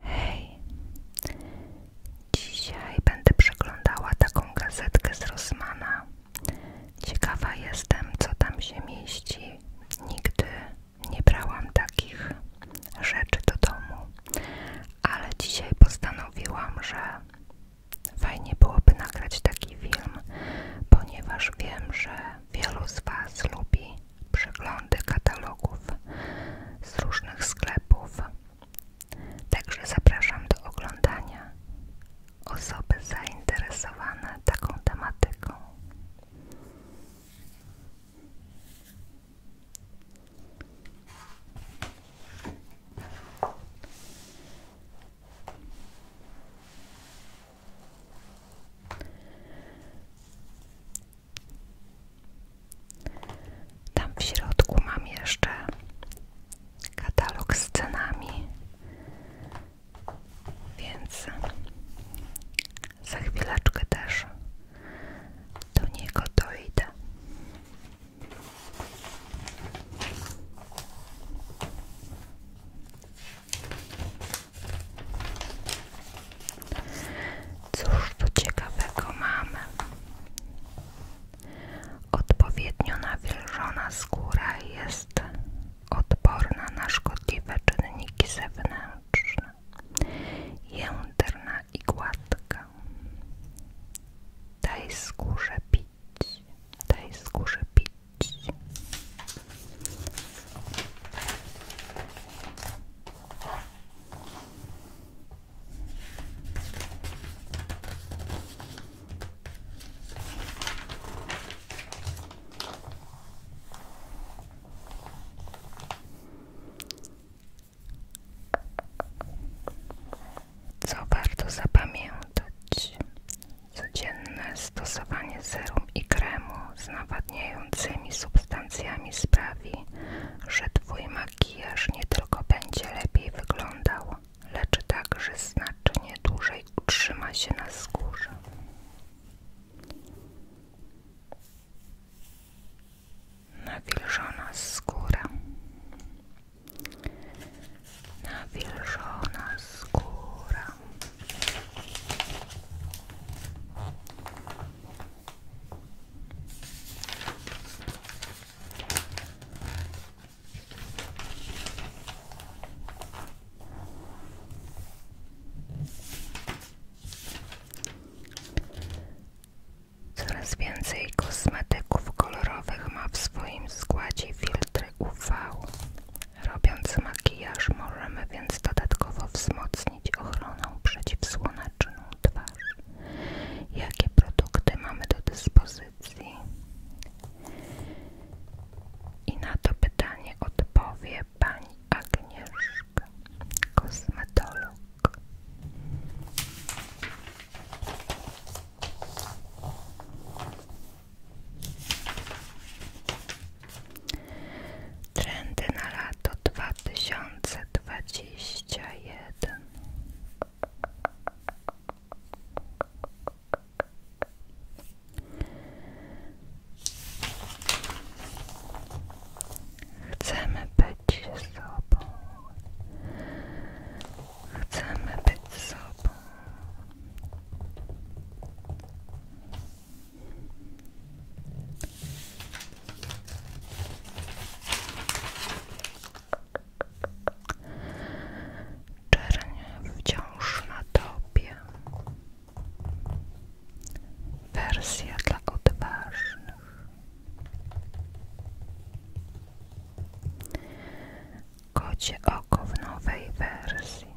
Hej, dzisiaj będę przeglądała taką gazetkę z Rosmana. Ciekawa jestem, co tam się mieści. Nigdy nie brałam takich rzeczy do domu, ale dzisiaj postanowiłam, że fajnie byłoby nagrać taki film, ponieważ wiem, że wielu z Was lubi przeglądy katalogów z różnych sklepów. Także zapraszam do oglądania osoby zainteresowane taką tematyką. Tam w środku mam jeszcze katalog z cenami, więc za chwileczkę też do niego dojdę. Cóż tu ciekawego mamy? Odpowiednio nawilżona skóra jest odporna na szkodliwe czynniki zewnętrzne, jędrna i gładka. Daj skórze pić, daj skórze pić. Co warto zapamiętać? Codzienne stosowanie serum i kremu z nawadniającymi substancjami sprawi, że Twój makijaż nie tylko będzie lepiej wyglądał, lecz także znacznie dłużej utrzyma się na skórze. Nawilżona skóra. Nawilżona skóra. Coraz więcej kosmetyków kolorowych ma w swoim składzie filtry UV, Robiąc makijaż możemy więc dodatkowo wzmocnić ochronę ochroną przeciwsłoneczną twarz. Jakie produkty mamy do dyspozycji? I na to pytanie odpowie pani Agnieszka, kosmetolog. Trendy na lato 2021 Chcemy być sobą. Chcemy być sobą. Czerń wciąż na Wersja dla odważnych. Kocie oko w nowej wersji.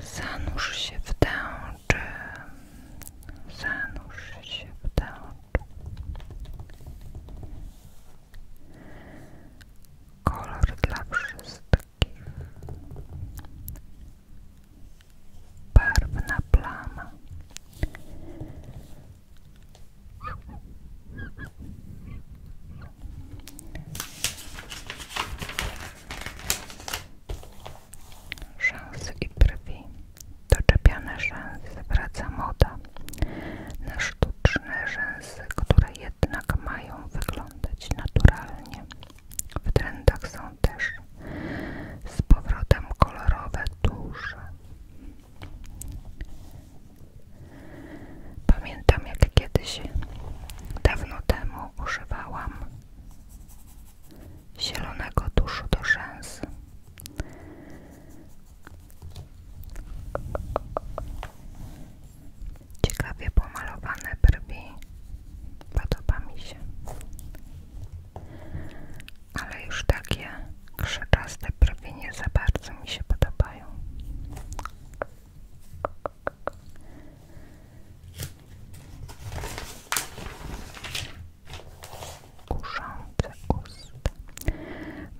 Zanurz się w tęczy. Zanurz się w tęczy. Kolor dla wszystkich. Barwna plama. Szans i brwi. Doczepiane rzęsy wraca moda na sztuczne rzęsy, które jednak mają wyglądać naturalnie. W trendach są też z powrotem kolorowe duże Pamiętam, jak kiedyś dawno temu używałam zielonego tuszu do rzęs. Ciekawie pomalowane brwi. Podoba mi się ale już takie krzaczaste prawie nie za bardzo mi się podobają. Kuszące usta,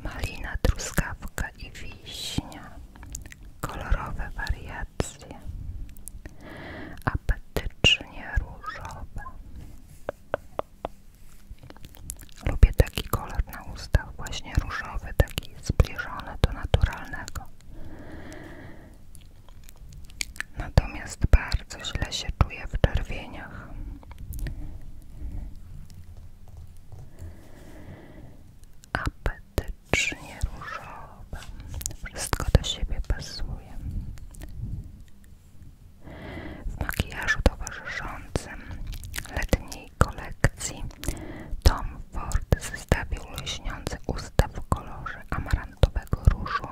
malina, truskawka i wiśnia, kolorowe wariacje, apetycznie różowe, Lubię taki kolor na ustach, właśnie różowy, taki zbliżony do naturalnego. Natomiast bardzo źle się czuję w czerwieniach. Apetycznie różowe. Wszystko do siebie pasuje. W makijażu towarzyszącym letniej kolekcji Tom Ford zestawił lśniące usta w kolorze amarantowego różu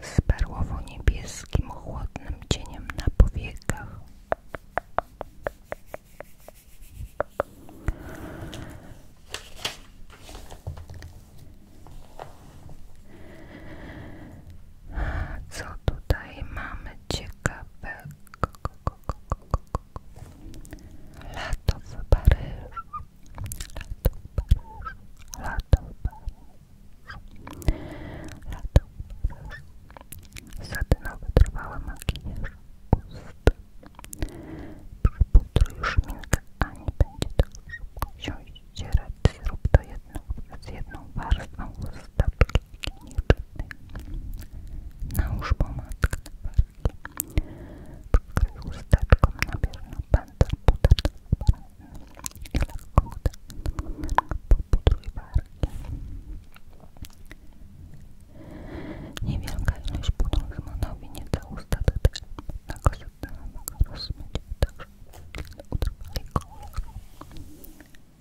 z perłowo-niebieskim chłodnym cieniem na powiekach. Co tutaj mamy ciekawego? Lato w Paryżu. Lato w Paryżu. Lato w Paryżu. Lato w Paryżu. Satynowy trwały makijaż ust. Przy pudru już miękka, a nie będzie tak szybko siąść ścierać zrób to jedną, z na warstwą stopki nieczytnej. Nałóż pomadkę na wargi. Przykryj chusteczką, nabierz na pędzel butelkę i lekko popudruj wargi. Niewielka ilość pudru zmanowi nie da ustatecznie pewnego sygnału rozmyć, także utrwali kolor.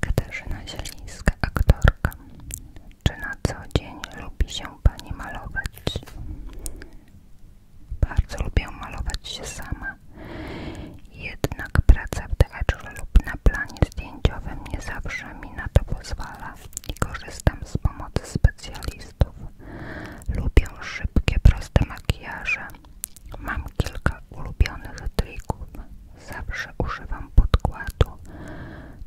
Katarzyna Zielińska, aktorka. Czy na co dzień lubi się Pani malować? Bardzo lubię malować się sama. Jednak praca w teatrze lub na planie zdjęciowym nie zawsze mi na to pozwala i korzystam z pomocy specjalistów. Lubię szybkie, proste makijaże. Mam kilka ulubionych trików. Zawsze używam podkładu,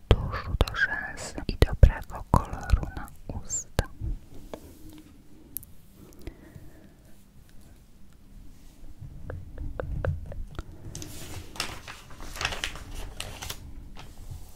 tuszu do rzęs i dobrego koloru na usta.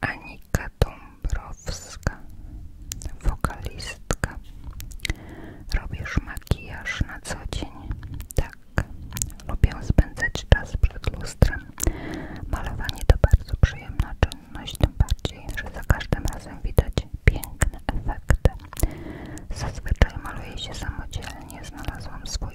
Anika Dąbrowska, wokalistka. Robisz makijaż na co dzień? Tak. Lubię spędzać czas przed lustrem. Malowanie to bardzo przyjemna czynność, tym bardziej, że za każdym razem widać piękne efekty. Zazwyczaj maluję się samodzielnie. Znalazłam swój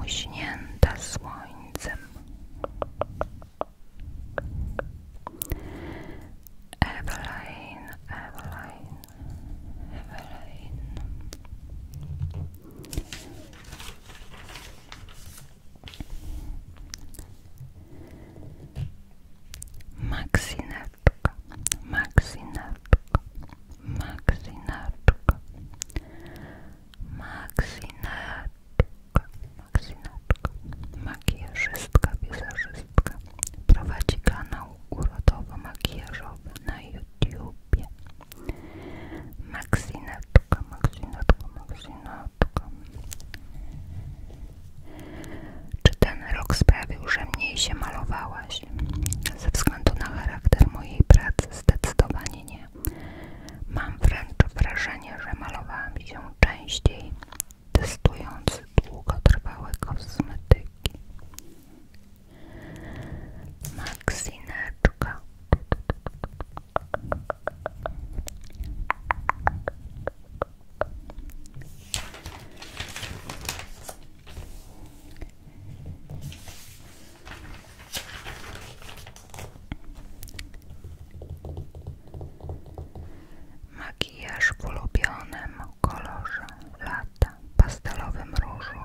muśnięta słońcem. Evelyn, Evelyn, Evelyn. Maksineczka, maksineczka, maksineczka, maksineczka, maksineczka, makijażystka, wizerzystka. Prowadzi kanał urodowo-makijażowy na YouTubie. Maksineczka, maksineczka, maksineczka. Czy ten rok sprawił, że mniej się malowałaś? Ze względu na charakter mojej pracy zdecydowanie nie. Mam wręcz wrażenie, że malowałam się częściej, testując długotrwałe kosmetyki. Maksineczka. Makijaż w ulubionym kolorze lata, pastelowym różu.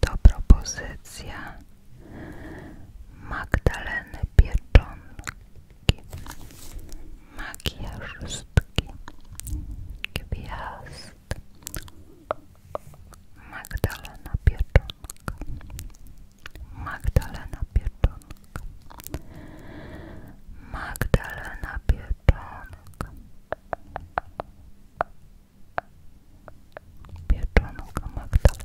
To propozycja Magdaleny Pieczonki makijażystki, gwiazd, Magdalena Pieczonka, Magdalena Pieczonka, Magdalena Pieczonka, Pieczonka, Magdalena Pieczonka.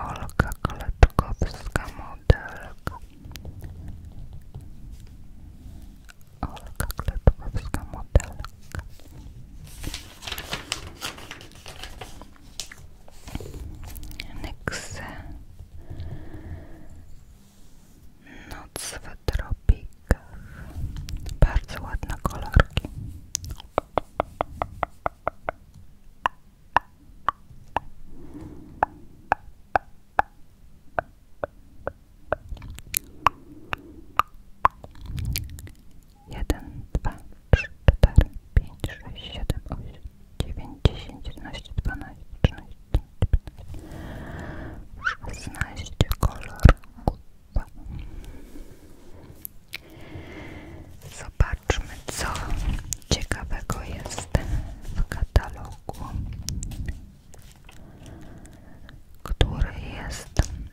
Olga Kletkowska-Modelk Olga Kletkowska-Modelk Next Noc w tropikach. Bardzo ładne kolorki. Jeden, dwa, trzy, cztery, pięć, sześć, siedem, osiem, dziewięć, dziesięć, jedenaście, dwanaście, trzynaście, szesnaście kolor Zobaczmy co ciekawego jest w katalogu, który jest, mm,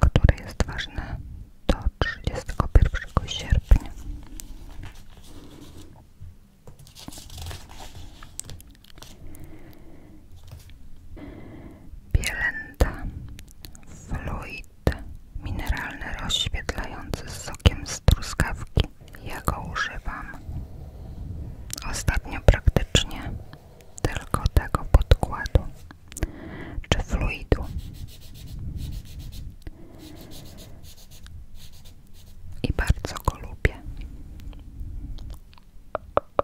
który jest ważny do 31 sierpnia. Bielęta, fluid mineralny rozświetlający z sokiem z Ja go używam ostatnio praktycznie tylko tego podkładu czy fluidu. I bardzo go lubię.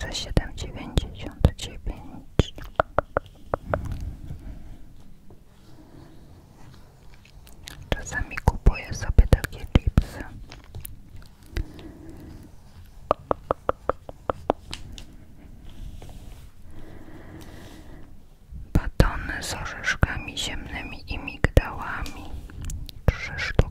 za siedem dziewięćdziesiąt dziewięć czasami kupuję sobie takie chipsy batony z orzeszkami ziemnymi i migdałami trzy sztuki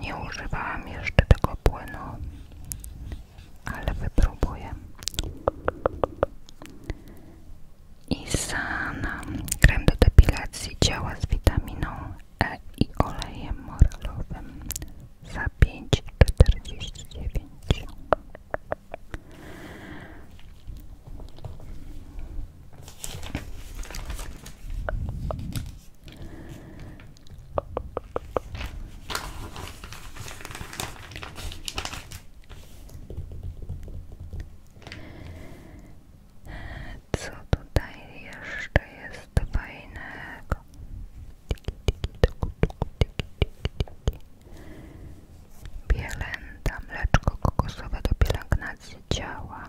Nie używałam jeszcze tego płynu, ale wypróbuję. Isana. Krem do depilacji działa z witaminą E i olejem moralowym za 5,49 co tutaj jeszcze jest fajnego? Bielęta, mleczko kokosowe do pielęgnacji ciała.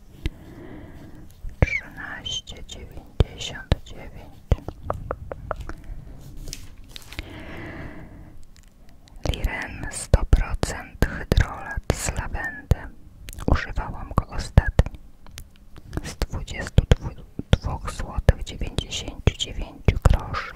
trzynaście dziewięćdziesiąt dziewięć Liren 100% hydrolat z lawendy. Używałam go ostatnio. Z 22 zł 99 groszy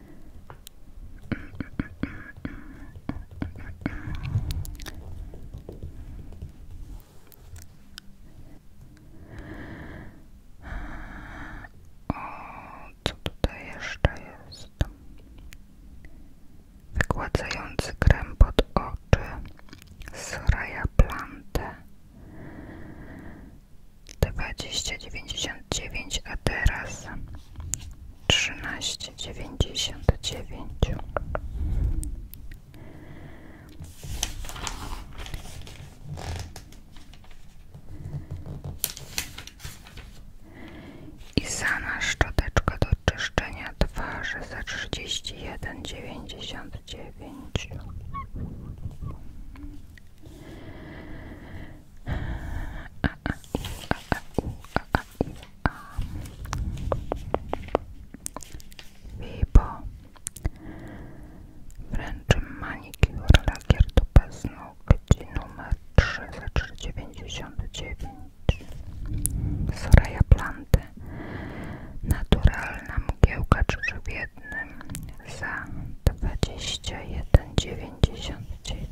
O, co tutaj jeszcze jest? Wygładzający krem pod oczy z Raja Plante dziewięć a teraz trzynaście dziewięćdziesiąt dziewięć i sama szczoteczka do czyszczenia twarzy za trzydzieści jeden dziewięćdziesiąt dziewięć a, u, a, a, u, a, a, u, a. Vibo. Wręczy lakier do paznokci numer 3 za dziewięć, Soraya Planty Naturalna mgiełka za dwadzieścia jeden dziewięćdziesiąt dziewięć.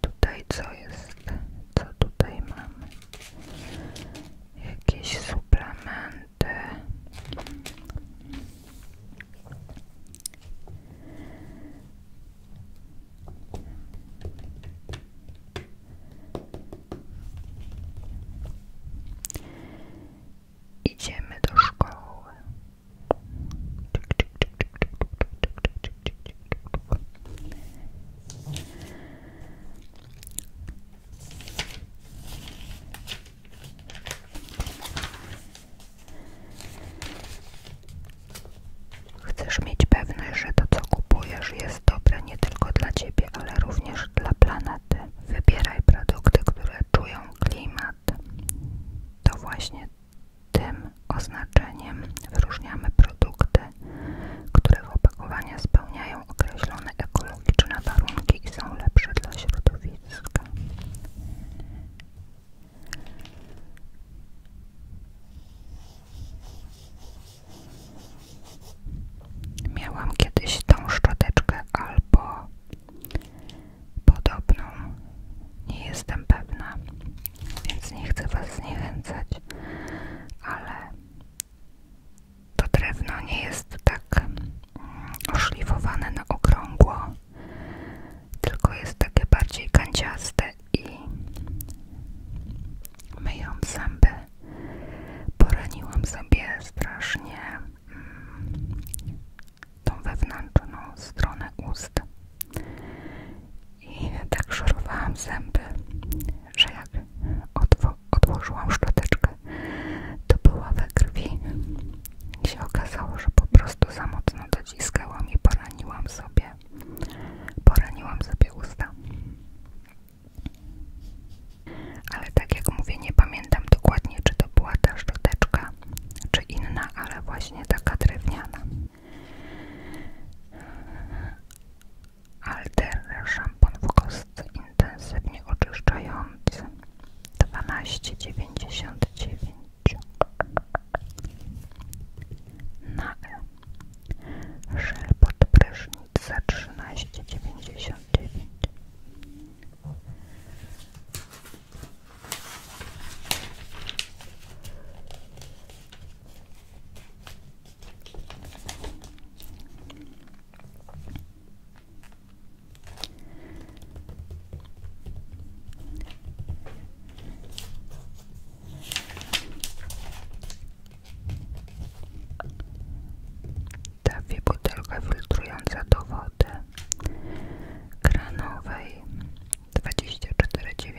Tutaj co jest? Co tutaj mamy? Jakieś suplementy. Idziemy do szkoły. Chcesz mieć pewność, że to co kupujesz jest dobre nie tylko dla Ciebie, ale również dla planety. Wybieraj produkty, które czują klimat. To właśnie tym oznaczeniem wyróżniamy produkty, które w opakowaniach spełniają określone ekologiczne warunki i są lepsze dla środowiska. Miałam kiedyś tą szczoteczkę albo podobną. Nie jestem pewna więc nie chcę Was zniechęcać, ale to drewno nie jest tak mm, oszlifowane na okrągło, tylko jest takie bardziej kanciaste i myjąc zęby poraniłam sobie strasznie mm, tą wewnętrzną stronę ust i tak szorowałam zęby, że jak odwo odłożyłam szczoteczkę, to była we krwi i się okazało, że po prostu za mocno dociskałam i poraniłam sobie, poraniłam sobie usta. Ale tak jak mówię, nie pamiętam dokładnie, czy to była ta szczoteczka, czy inna, ale właśnie taka drewniana. Alterny szampon w kostce intensywnie oczyszczający 12,99 na E żel pod prysznic za Dawię butelkę filtrująca do wody kranowej 24,90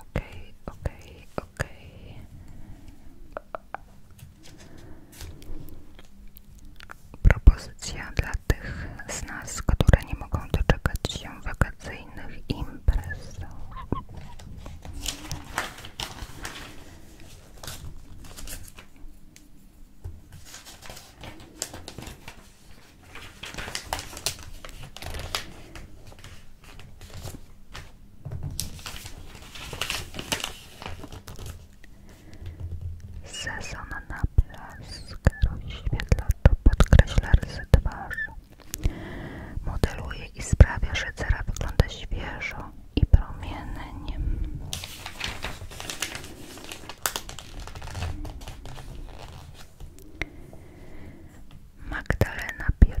Ok, ok, okej, Propozycja dla tych z nas, które nie mogą doczekać się wakacyjnych imprez. Sezon na blask rozświetla to podkreśla rysy twarzy. Modeluje i sprawia, że cera wygląda świeżo i promiennie. Magdalena Piel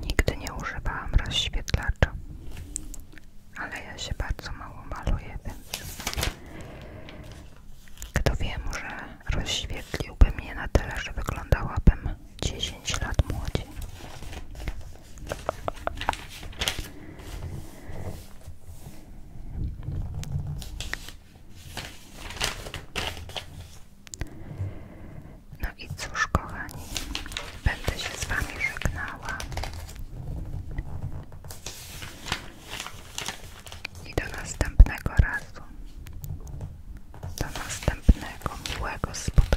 Nigdy nie używałam rozświetlacza, ale ja się bardzo mało maluję, kto wie, może rozświetliłbym je na tyle, że wyglądałabym 10 lat młodziej. No i cóż, kochani, będę się z Wami żegnała. I do następnego razu. Do następnego miłego spotkania.